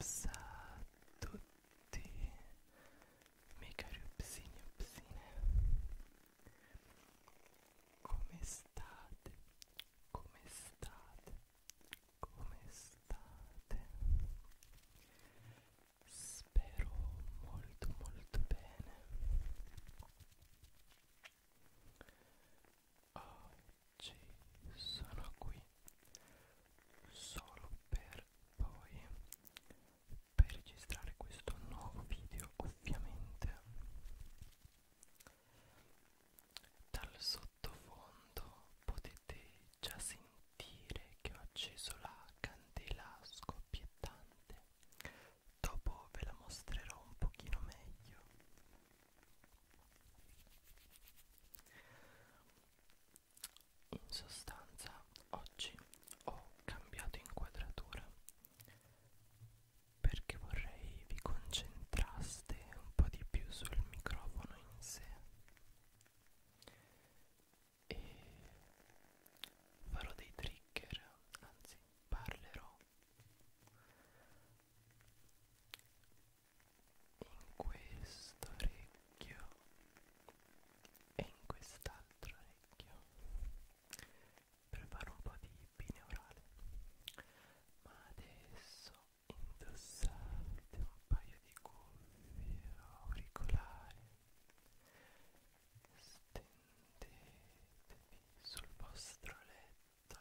Ops a tutti, miei cari upsini e upsine, come state? Come state? Come state? Spero molto molto bene. Oggi sono qui solo per voi per registrare questo nuovo video ovviamente dal sottofondo sottofondo potete già sentire che ho acceso la candela scoppiettante dopo ve la mostrerò un pochino meglio in sostanza oggi ho cambiato inquadratura perché vorrei vi concentraste un po' di più sul microfono in sé e farò dei trigger, anzi parlerò in questo orecchio e in quest'altro orecchio per fare un po' di binaurale ma adesso indossate un paio di cuffie auricolari stendetevi sul vostro letto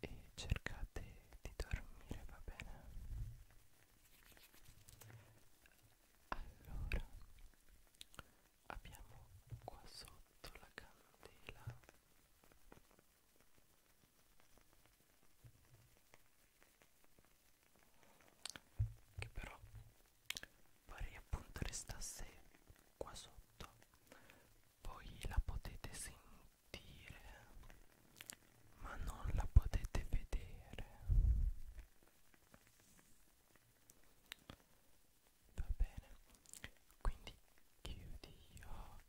e cercate di dormire va bene allora abbiamo qua sotto la candela che però pare appunto restasse qua sotto poi la potete sentire ma non la potete vedere va bene quindi chiudi gli occhi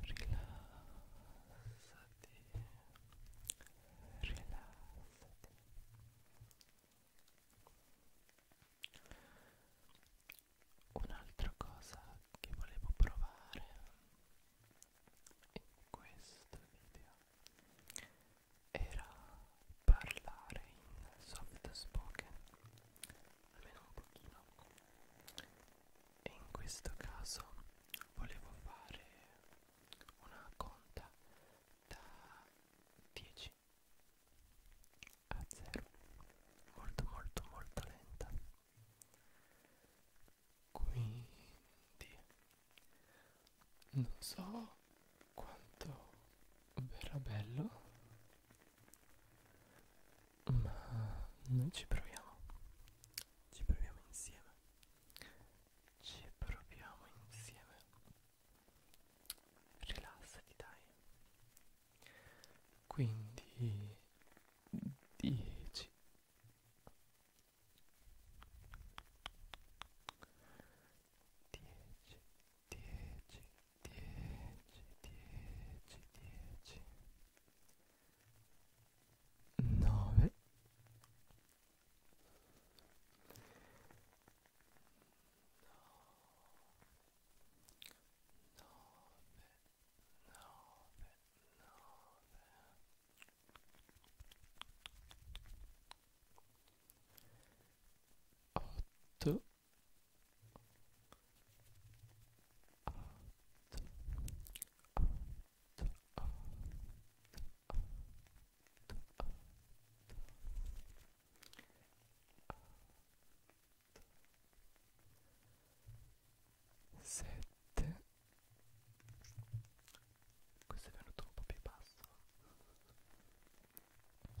rilassati rilassati un'altra cosa che volevo provare in questo video era parlare in soft spoken almeno un pochino e in questo caso volevo fare una conta da 10 a 0 molto molto molto lenta quindi non so quanto verrà bello ma mm, noi ci proviamo ci proviamo insieme ci proviamo insieme rilassati dai quindi 10 10 10 10 10 10 10 9 8 Sette. Questo è venuto un po' più basso. Sette.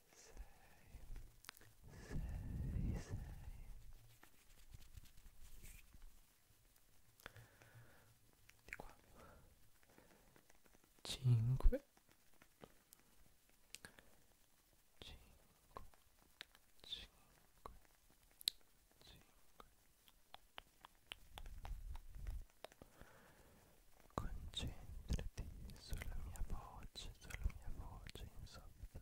sei, sei. Di qua. 5 5 5 5 Concentrati sulla mia voce, sulla mia voce in soft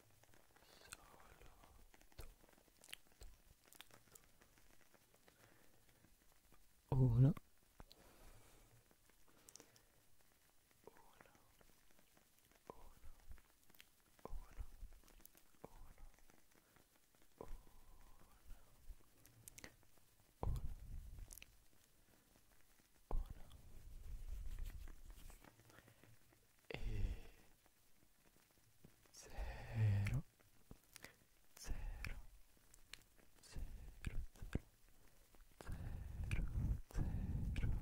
Uno. Uno. E zero, zero, zero, zero, zero, zero, zero, zero.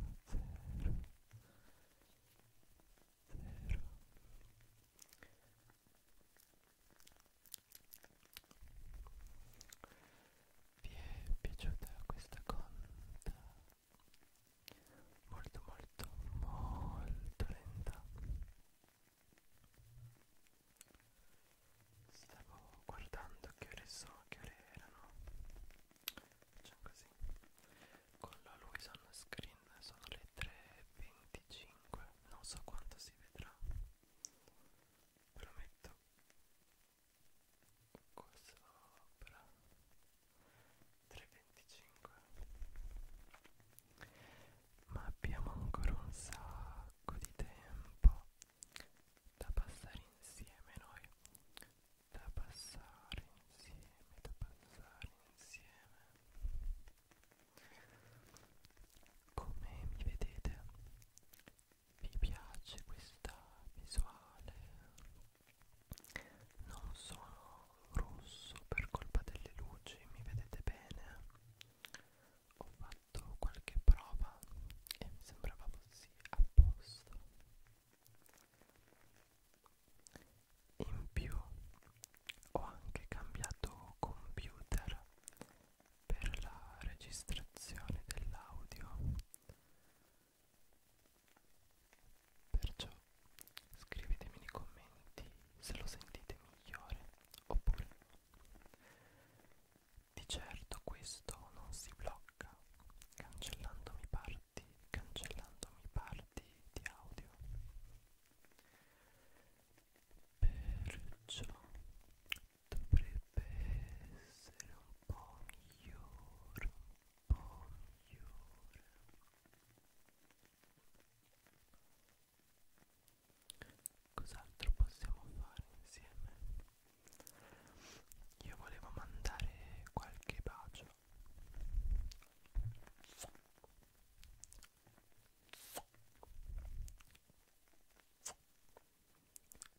Vi è piaciuta questa conta? molto molto molto lenta stavo guardando che ore so che ore erano facciamo così con la Luisa on screen sono le 3.25 non so quanto si vedrà prometto questa opera 325 ma abbiamo ancora un sacco di tempo da passare insieme noi da passare insieme da passare insieme come mi vedete vi piace questa visuale non sono rosso per colpa delle luci mi vedete bene ho fatto qualche prova e mi sembrava così a posto in più ho anche cambiato computer per la registrazione dell'audio Perciò scrivetemi nei commenti se lo sentite migliore oppure di certo questo non si blocca cancellandomi parti, cancellandomi parti di audio. Perciò dovrebbe essere un po' migliore, un Bonjour. Cos'altro possiamo fare insieme? Io volevo mandare qualche bacio.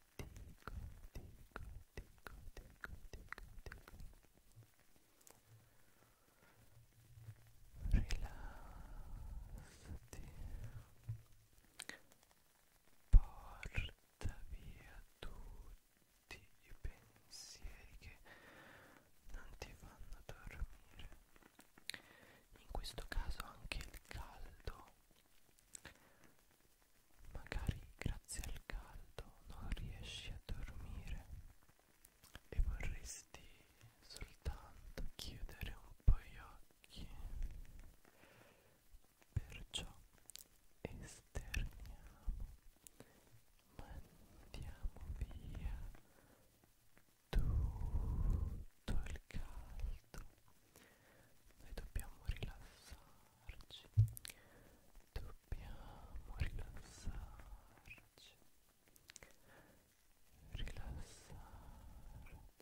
dico, dico, dico, dico, dico, dico. Rilassati. Porta via tutti i pensieri che non ti fanno dormire. In questo caso anche il caldo Magari grazie al caldo non riesci a dormire e vorresti soltanto chiudere un po' gli occhi. Perciò esterniamo, mandiamo via tutto il caldo. Noi dobbiamo rilassarci rilassarci dobbiamo rilassarci rilassarci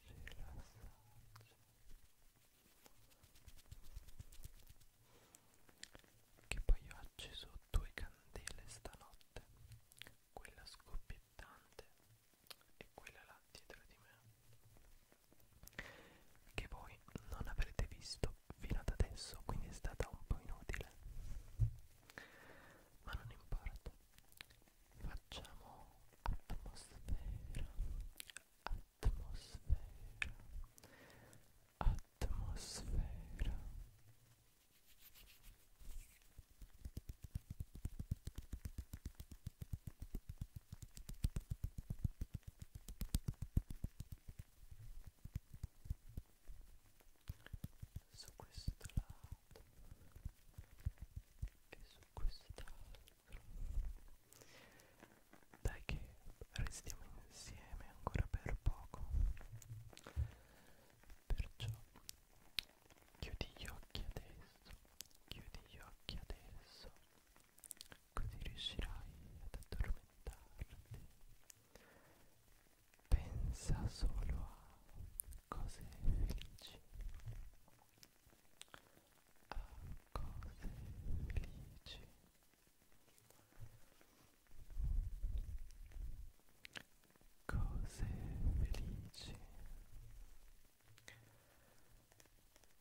rilassarci che poi ho acceso due candele stanotte quella scoppiettante e quella là dietro di me che voi non avrete visto fino ad adesso quindi è stata un po' inutile ma non importa facciamo atmosfera atmosfera atmosfera su questo lato e su quest'altro dai che restiamo insieme ancora per poco perciò chiudi gli occhi adesso chiudi gli occhi adesso così riuscirai ad addormentarti. Pensa solo a cose felici, a cose felici. Cose felici.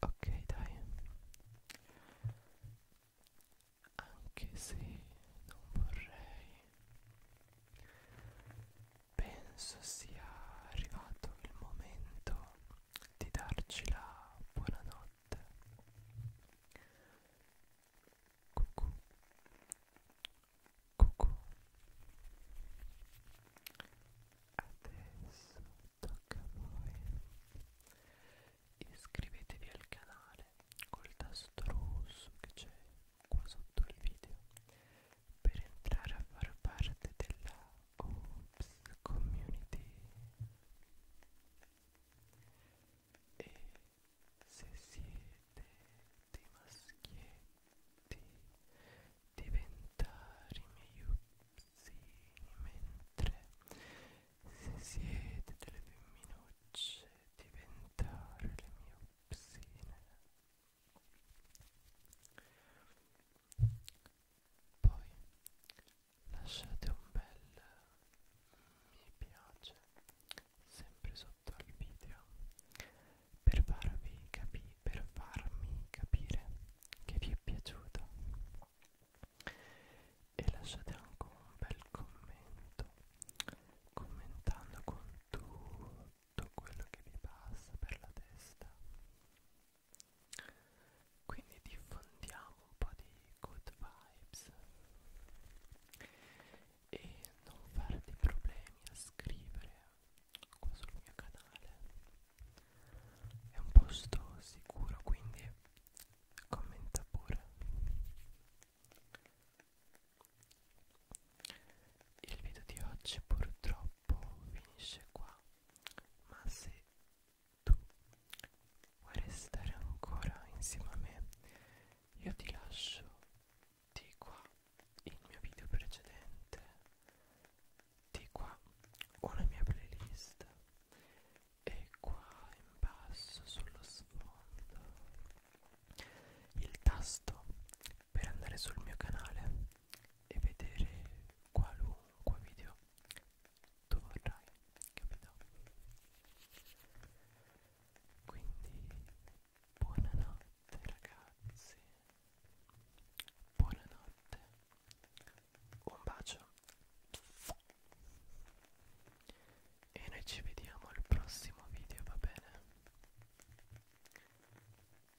ok dai anche se non vorrei penso sia arrivato il momento di darci la buonanotte cucù cucù Adesso tocca a voi. Iscrivetevi al canale col tasto rosso che c'è qua sotto il video per entrare a far parte della Oops Community. E se siete dei maschietti diventare i miei uzzini mentre se siete delle femminucce diventare le mie uzzine poi lasciate un bel mi piace sempre sotto al video per farvi capire per farmi capire che vi è piaciuta e lasciate anche un bel commento commentando con tutto quello che vi passa per la testa quindi diffondiamo un po' di good vibes e non farti problemi a scrivere qua sul mio canale è un posto sicuro quindi commenta pure il video di oggi purtroppo finisce qua ma se tu vuoi restare ancora insieme a me io ti lascio di qua il mio video precedente di qua ho la mia playlist e qua in basso sullo sfondo il tasto per andare sul mio canale e vedere qualunque video tu vorrai capito quindi buonanotte ragazzi buonanotte un bacio e noi ci vediamo al prossimo video va bene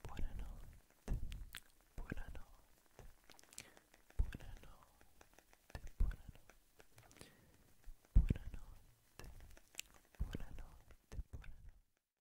buonanotte buonanotte buonanotte buonanotte buonanotte buonanotte buonanotte